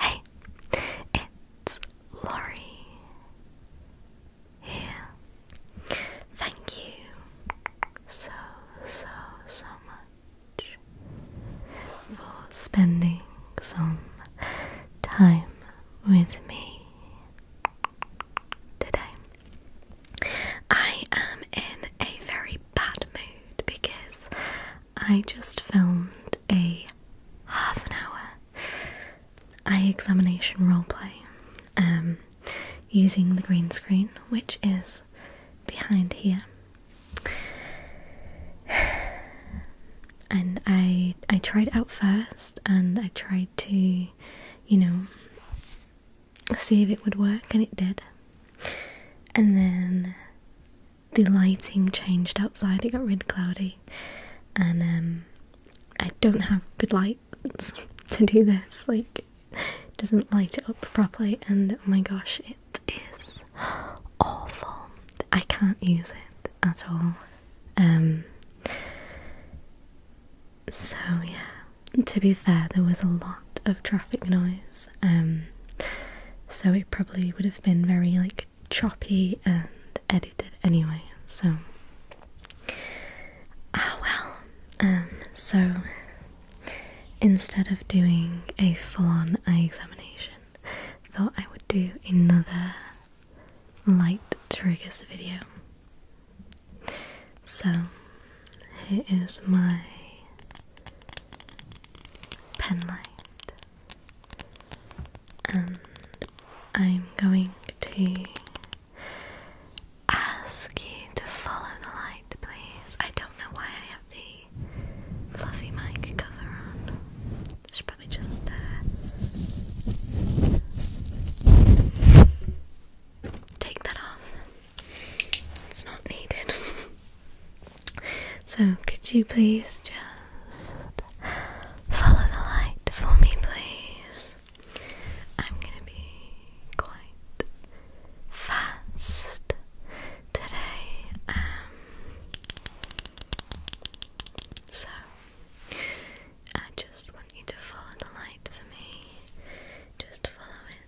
Hey, it's Laurie here. Thank you so, so, so much for spending some time with me today. I am in a very bad mood because I just filmed a half an hour eye examination roleplay um, using the green screen, which is behind here. And I I tried out first, and I tried to, you know, see if it would work, and it did. And then the lighting changed outside, it got really cloudy, and um, I don't have good lights to do this, like, it doesn't light it up properly, and oh my gosh, it is awful. I can't use it at all. Um, so, yeah, to be fair, there was a lot of traffic noise um, so it probably would have been very like choppy and edited anyway. So ah well. Um, so instead of doing a full-on eye examination, thought I would do another light triggers video. So here is my pen light, and um, I'm going to ask you to follow the light, please. I don't know why I have the fluffy mic cover on. should probably just. Uh, take that off. It's not needed. so, could you please just follow the light for me, please? I'm gonna be quite fast today. Um, so, I just want you to follow the light for me. Just follow it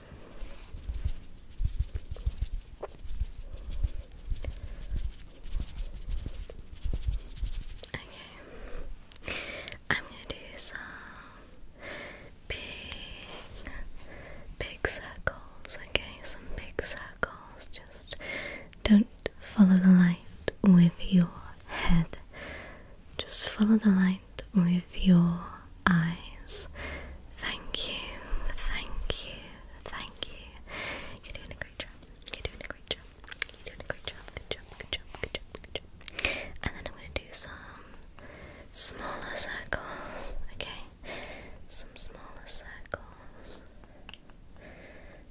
Okay. I'm gonna do some big big circles, okay? Some big circles. Just don't follow the light with your head. Just follow the light with your eyes. Thank you, thank you, thank you. You're doing a great job. You're doing a great job. You're doing a great job. Good job, good job, good job, good job. And then I'm going to do some smaller circles, okay? Some smaller circles.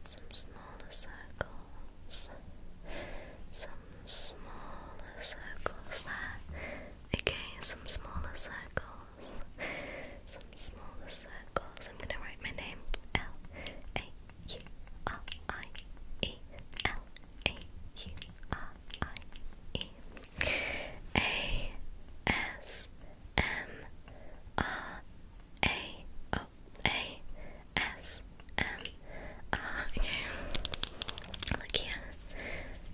Some smaller circles. Some smaller circles Okay, some smaller circles. Some smaller circles. I'm gonna write my name L A U R I E L A U R I E A S M R A O A S M R. Okay, look here.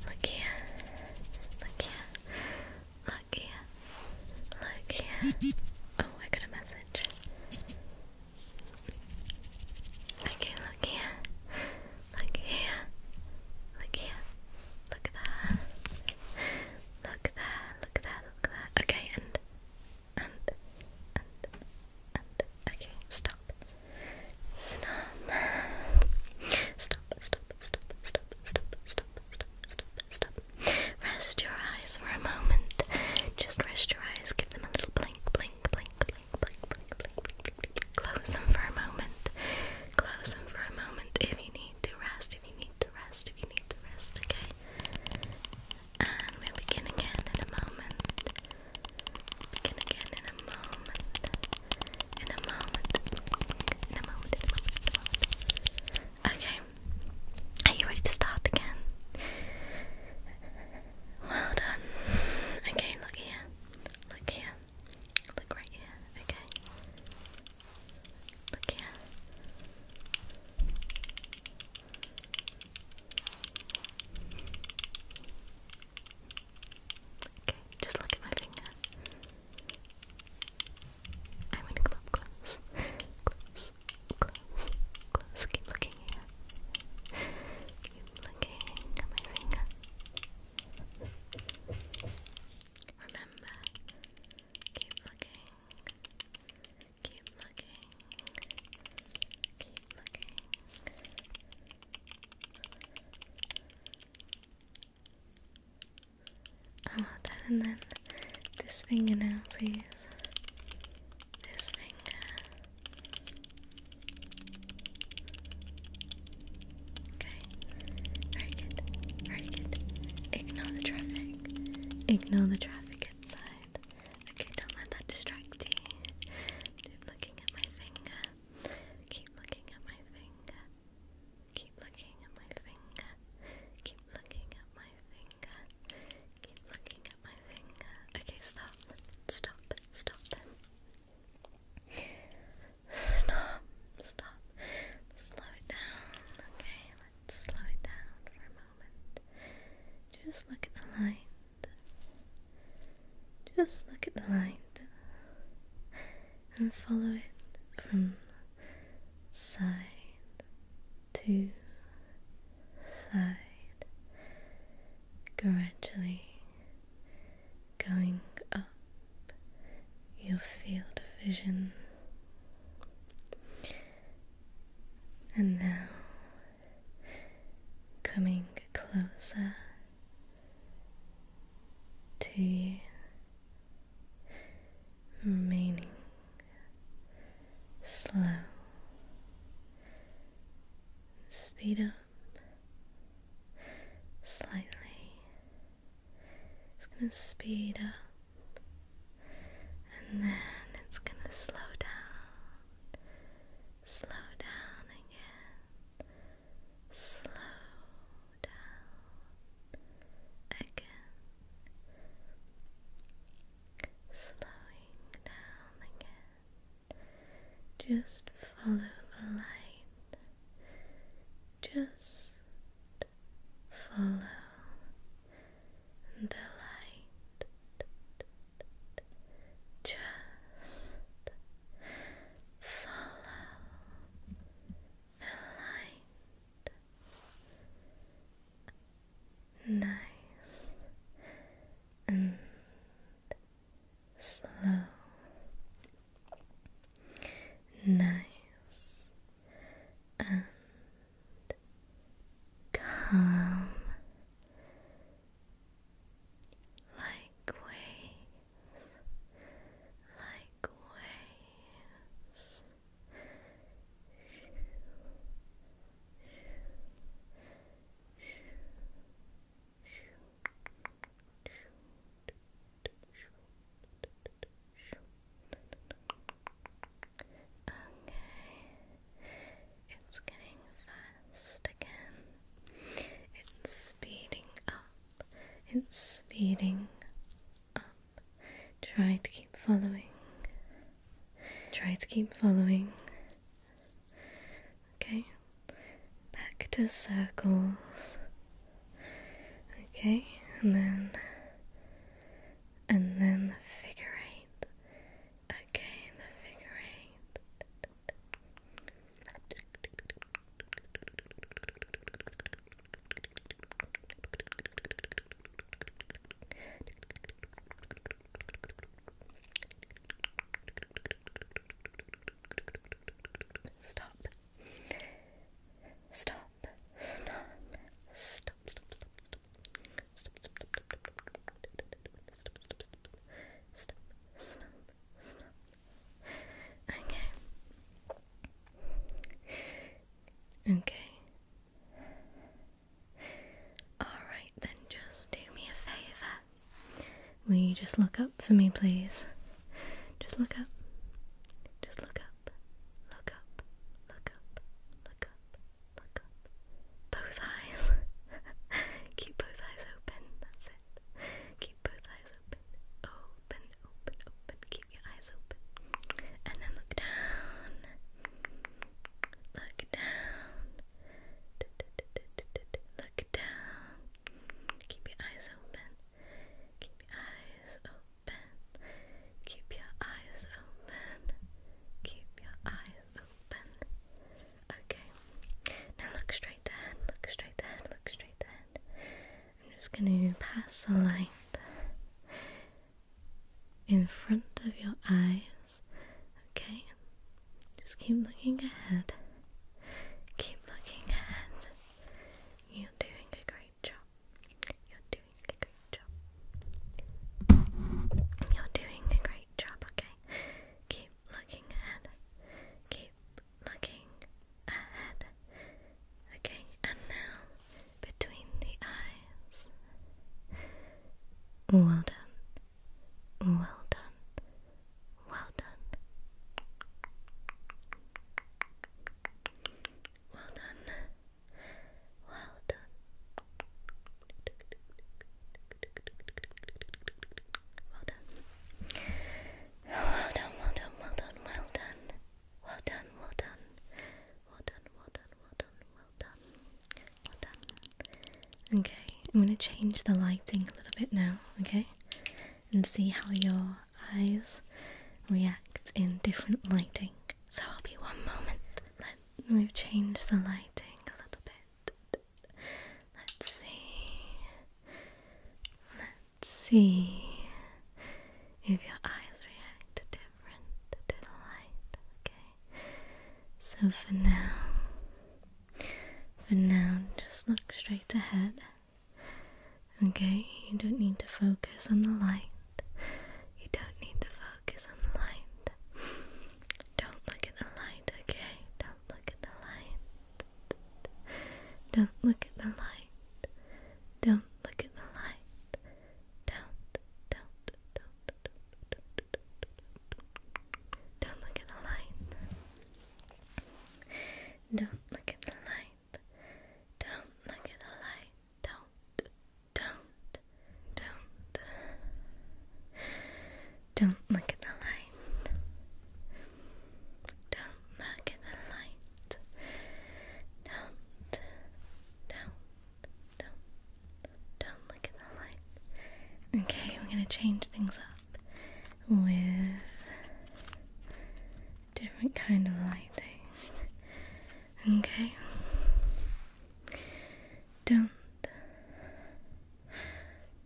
Look here. Look here. Look here. Look here. Oh, I got a message. Okay, look here. Look here. Look here. Look there. Look there. Look there. Look there. Okay, and and and okay, stop. Stop. Stop, stop, stop, stop, stop, stop, stop, stop, Rest your eyes for a moment. Just rest your eyes, give them a little blink, blink, blink, blink, blink, blink, blink, Close them for a moment. Close them for a moment if you need to rest, if you need to rest, if you need to rest, okay? And we begin again in a moment. Okay. Are you ready to start again? Well done. Okay, look here. Look here. Look right here. Okay. Look here. Okay, just look at my finger. I'm gonna come up close. Close, close, close. Keep looking here. Keep looking at my finger. Remember, keep looking. Keep looking keep looking. I want that, and then this finger now, please. This finger. Okay. Very good. Very good. Ignore the traffic. Ignore the traffic inside. Okay, don't let that distract you. Keep looking at my finger. Keep looking at my finger. Keep looking at my finger. Keep looking at my finger. Keep looking at my finger. Okay, stop. Stop. Stop. Stop. Stop. Slow it down. Okay, let's slow it down for a moment. Just look at the line. Just look at the light and follow it from side to side, gradually going up your field of vision. And now coming closer to you, remaining slow. Speed up slightly. It's going to speed up and then it's going to slow down slow down again, slow down again, slowing down again. Just follow the light, just follow the light. Just follow the light. Nice and slow. Nice and Come like waves, like waves. Okay. It's getting fast again. It's speeding up. It's speeding up. Try to keep following. Try to keep following. Okay. Back to circles. Okay, and then and then figure eight. Okay, the figure eight. Stop. Stop. Stop. Stop. Stop. Stop okay, okay, all right, then just do me a favor, will you just look up for me, please, just look up, just look up look up, look up, look up, look up. Both eyes. Keep both eyes open, that's it. Keep both eyes open. Open, open, open. Keep your eyes open. And then look down. Look down. look down. Keep your eyes open. Keep your eyes open. Keep your eyes open. Keep your eyes open. Okay. Now look straight ahead. Look straight ahead. Look straight ahead. I'm just going to pass the light in front of your eyes. Okay. Just keep looking ahead. Keep looking ahead. You're doing great you're doing a great job. You're doing a great job, okay? Keep looking ahead. Keep looking ahead. Okay, and now between the eyes. Well done. Well done. Well done. Well done. Well done. Well done. Well done, well done, well done, well done. Well done, well done. Well done, well done, well done, well done. Well done. Okay, I'm going to change the lighting a little bit now, okay? And see how your eyes react in different lighting. So I'll be one moment. Let me change the lighting a little bit. Let's see. Let's see if your eyes react different to the light. Okay. So for now, for now, just look straight ahead. Okay, you don't need to focus on the light. You don't need to focus on the light. Don't look at the light, okay? Don't look at the light. Don't look at the light. Don't look at the light. Don't, don't, don't, don't, don't, don't, don't look at the light. Don't look at the light. Don't look at the light. Don't. Don't. Don't. Don't look at the light. Don't look at the light. Don't. Don't. Don't. Don't look at the light. Okay, we're going to change things up with different kind of lighting. okay? Don't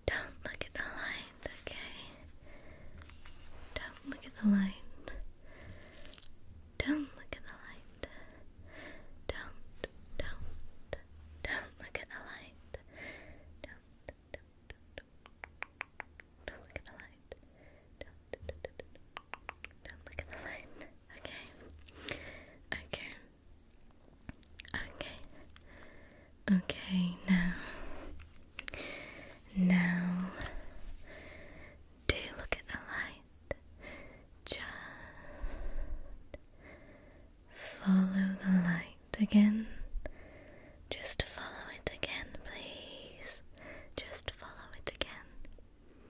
don't look at the light, okay? Don't look at the light. Don't look at the light. Don't, don't, don't look at the light. Don't, don't, don't, don't look at the light. Don't, look at the light. Okay. Okay. Okay. Okay, now. Now. Do you look at the light? Just follow the light again. Just follow it again, please. Just follow it again.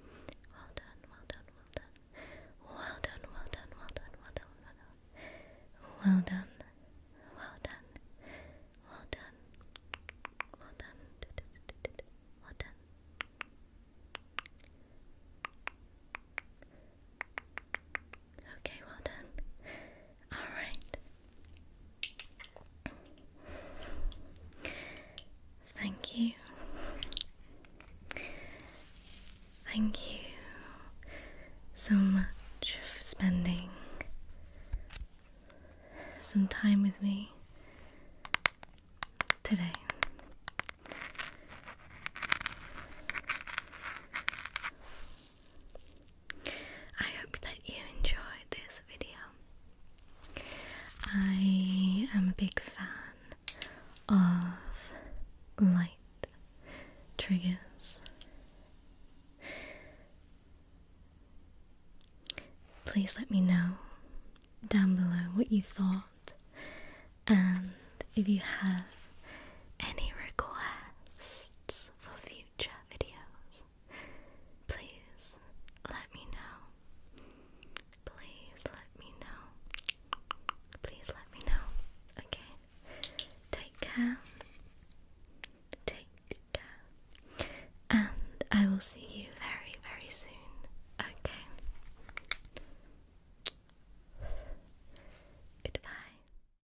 Well done, well done, well done. Well done, well done, well done, well done, well done. Well done, well done, well done, well done, well done. Okay, well done. Alright, Thank you. Thank you so much for spending some time with me today. I hope that you enjoyed this video. I am a big fan of light triggers. Please let me know down below what you thought and if you have any requests for future future videos. Please let me know. Please let me know. Please let me know. Okay? Take care. Take care. And I will see you very, very soon. Okay? Goodbye.